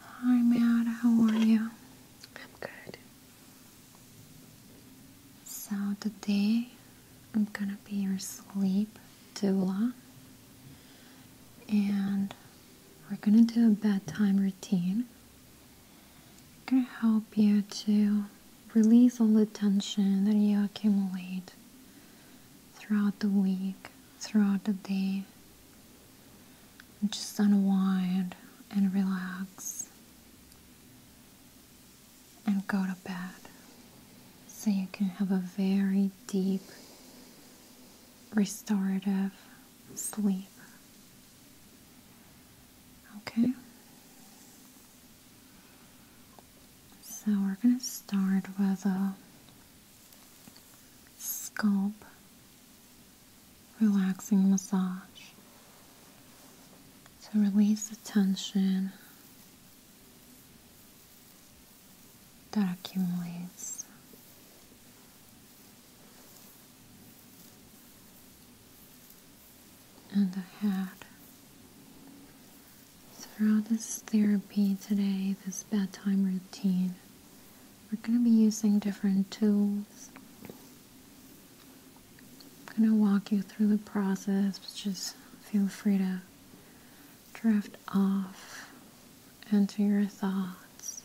Hi, Matt. How are you? I'm good. So today I'm gonna be your sleep doula, and we're gonna do a bedtime routine. I'm gonna help you to release all the tension that you accumulate throughout the week, throughout the day, just unwind and relax and go to bed so you can have a very deep, restorative sleep. Okay? So we're going to start with a scalp relaxing massage to release the tension that accumulates. And the head. Throughout this therapy today, this bedtime routine, we're going to be using different tools. I'm going to walk you through the process, just feel free to drift off into your thoughts.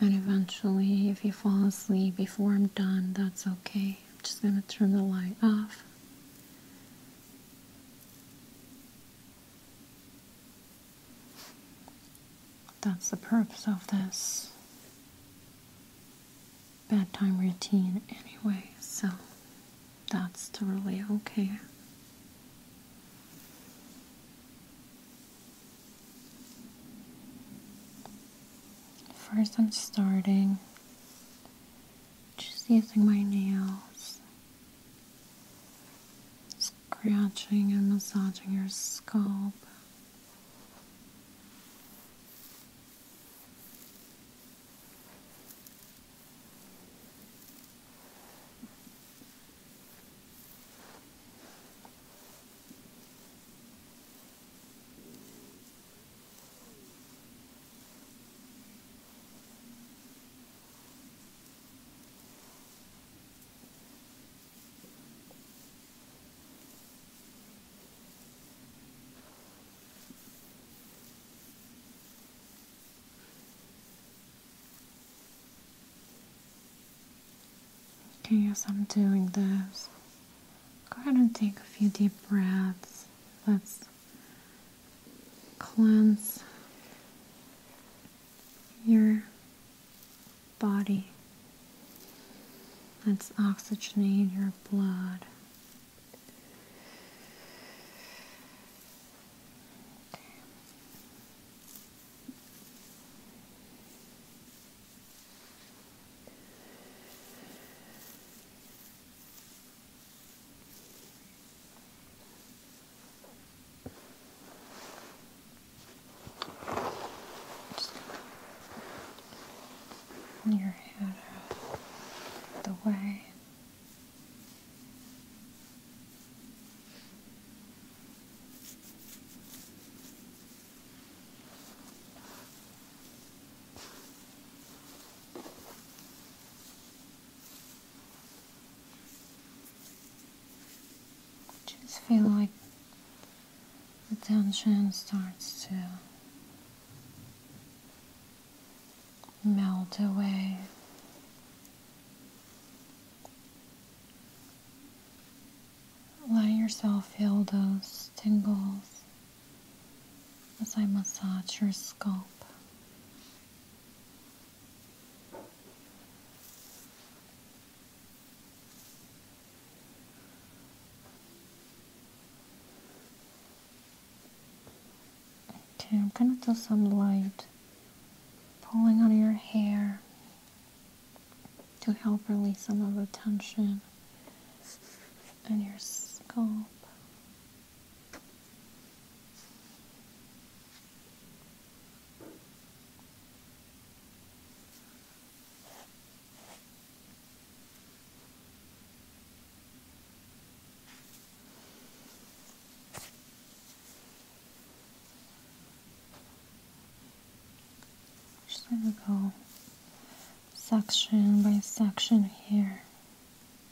And eventually, if you fall asleep before I'm done, that's okay. I'm just going to turn the light off. That's the purpose of this bedtime routine, anyway, so that's totally okay. First, I'm starting just using my nails, scratching and massaging your scalp. Okay, as I'm doing this, go ahead and take a few deep breaths. Let's cleanse your body. Let's oxygenate your blood your head out the way. I just feel like the tension starts to melt away. Let yourself feel those tingles as I massage your scalp. Okay, I'm gonna do some light pulling on your hair to help release some of the tension in your scalp. Just gonna go section by section here.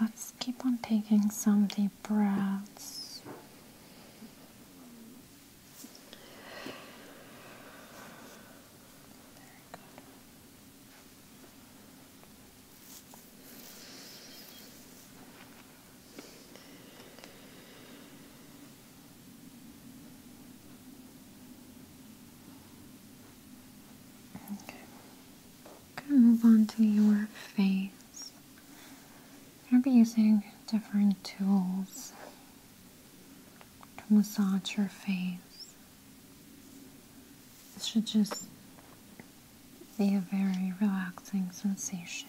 Let's keep on taking some deep breaths. Very good. Okay. we gonna move on to your face. I'll be using different tools to massage your face. This should just be a very relaxing sensation.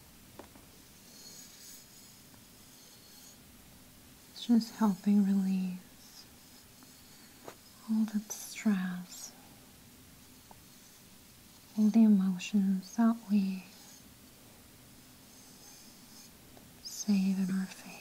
It's just helping release all the stress, all the emotions that we save in our faces.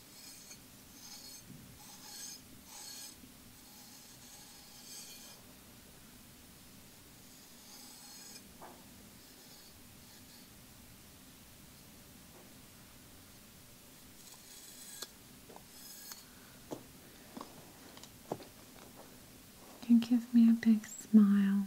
You give me a big smile.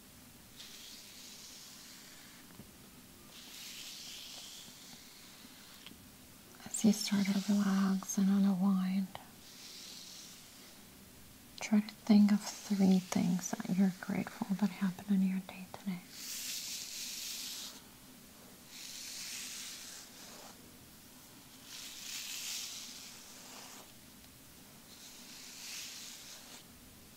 As you start to relax and unwind, try to think of three things that you're grateful that happened in your day today.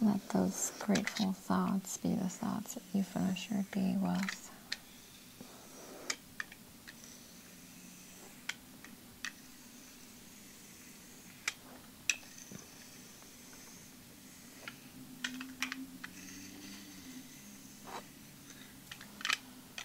Let those grateful thoughts be the thoughts that you finish your day with.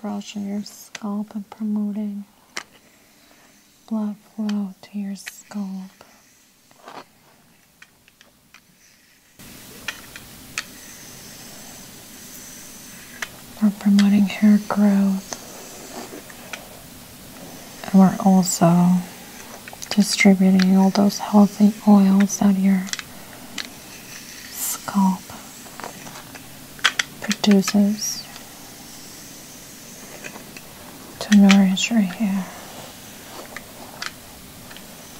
brushing your scalp and promoting blood flow to your scalp we're promoting hair growth. And we're also distributing all those healthy oils that your scalp produces to nourish your hair.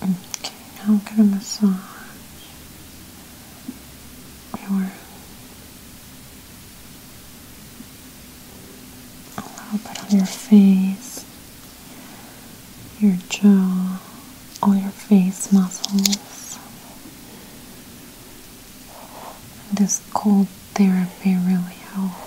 Okay, now I'm gonna massage your a little bit on your face, your jaw, all your face muscles. This cold therapy really helps.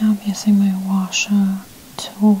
Now I'm using my washer tool.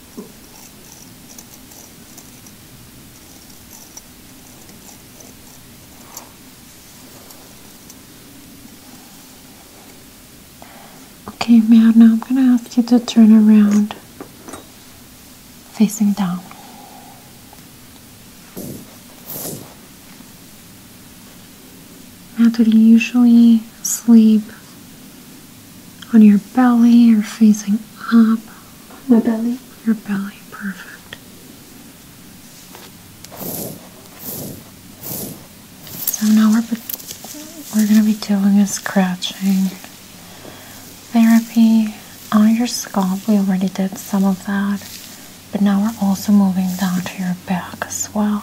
Okay, Meow, now I'm going to ask you to turn around facing down. Now, do you usually sleep on your belly or facing up? My belly. Your belly, perfect. So now we're we're gonna be doing a scratching therapy on your scalp. We already did some of that, but now we're also moving down to your back as well.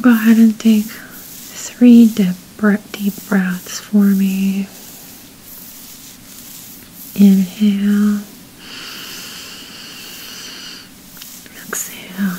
Go ahead and take three deep, deep breaths for me. Inhale, exhale.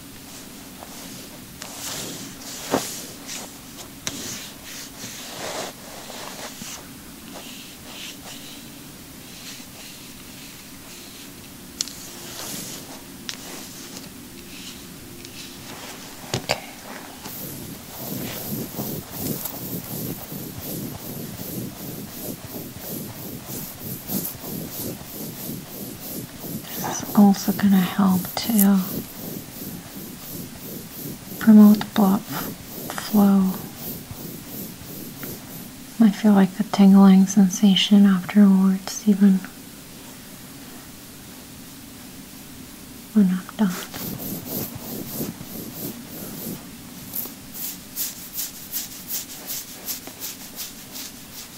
This is also going to help too promote blood flow. I feel like the tingling sensation afterwards, even when I'm done.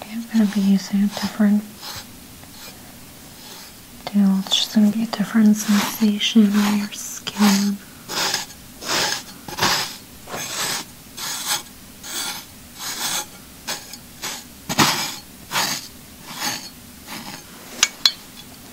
Okay, I'm gonna be using a different deal. It's just gonna be a different sensation on your skin.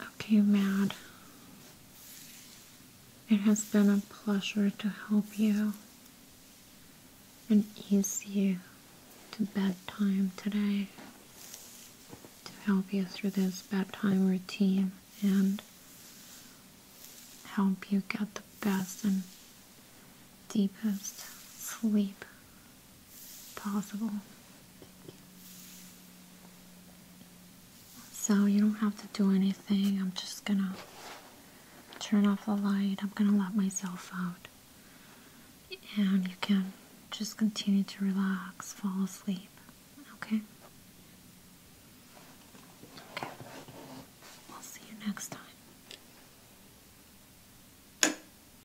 Okay, Mad. It has been a pleasure to help you and ease you to bedtime today, to help you through this bedtime routine and help you get the best and deepest sleep possible. So you don't have to do anything. I'm just gonna turn off the light. I'm gonna let myself out. And you can just continue to relax, fall asleep. Okay? Okay. I'll see you next time.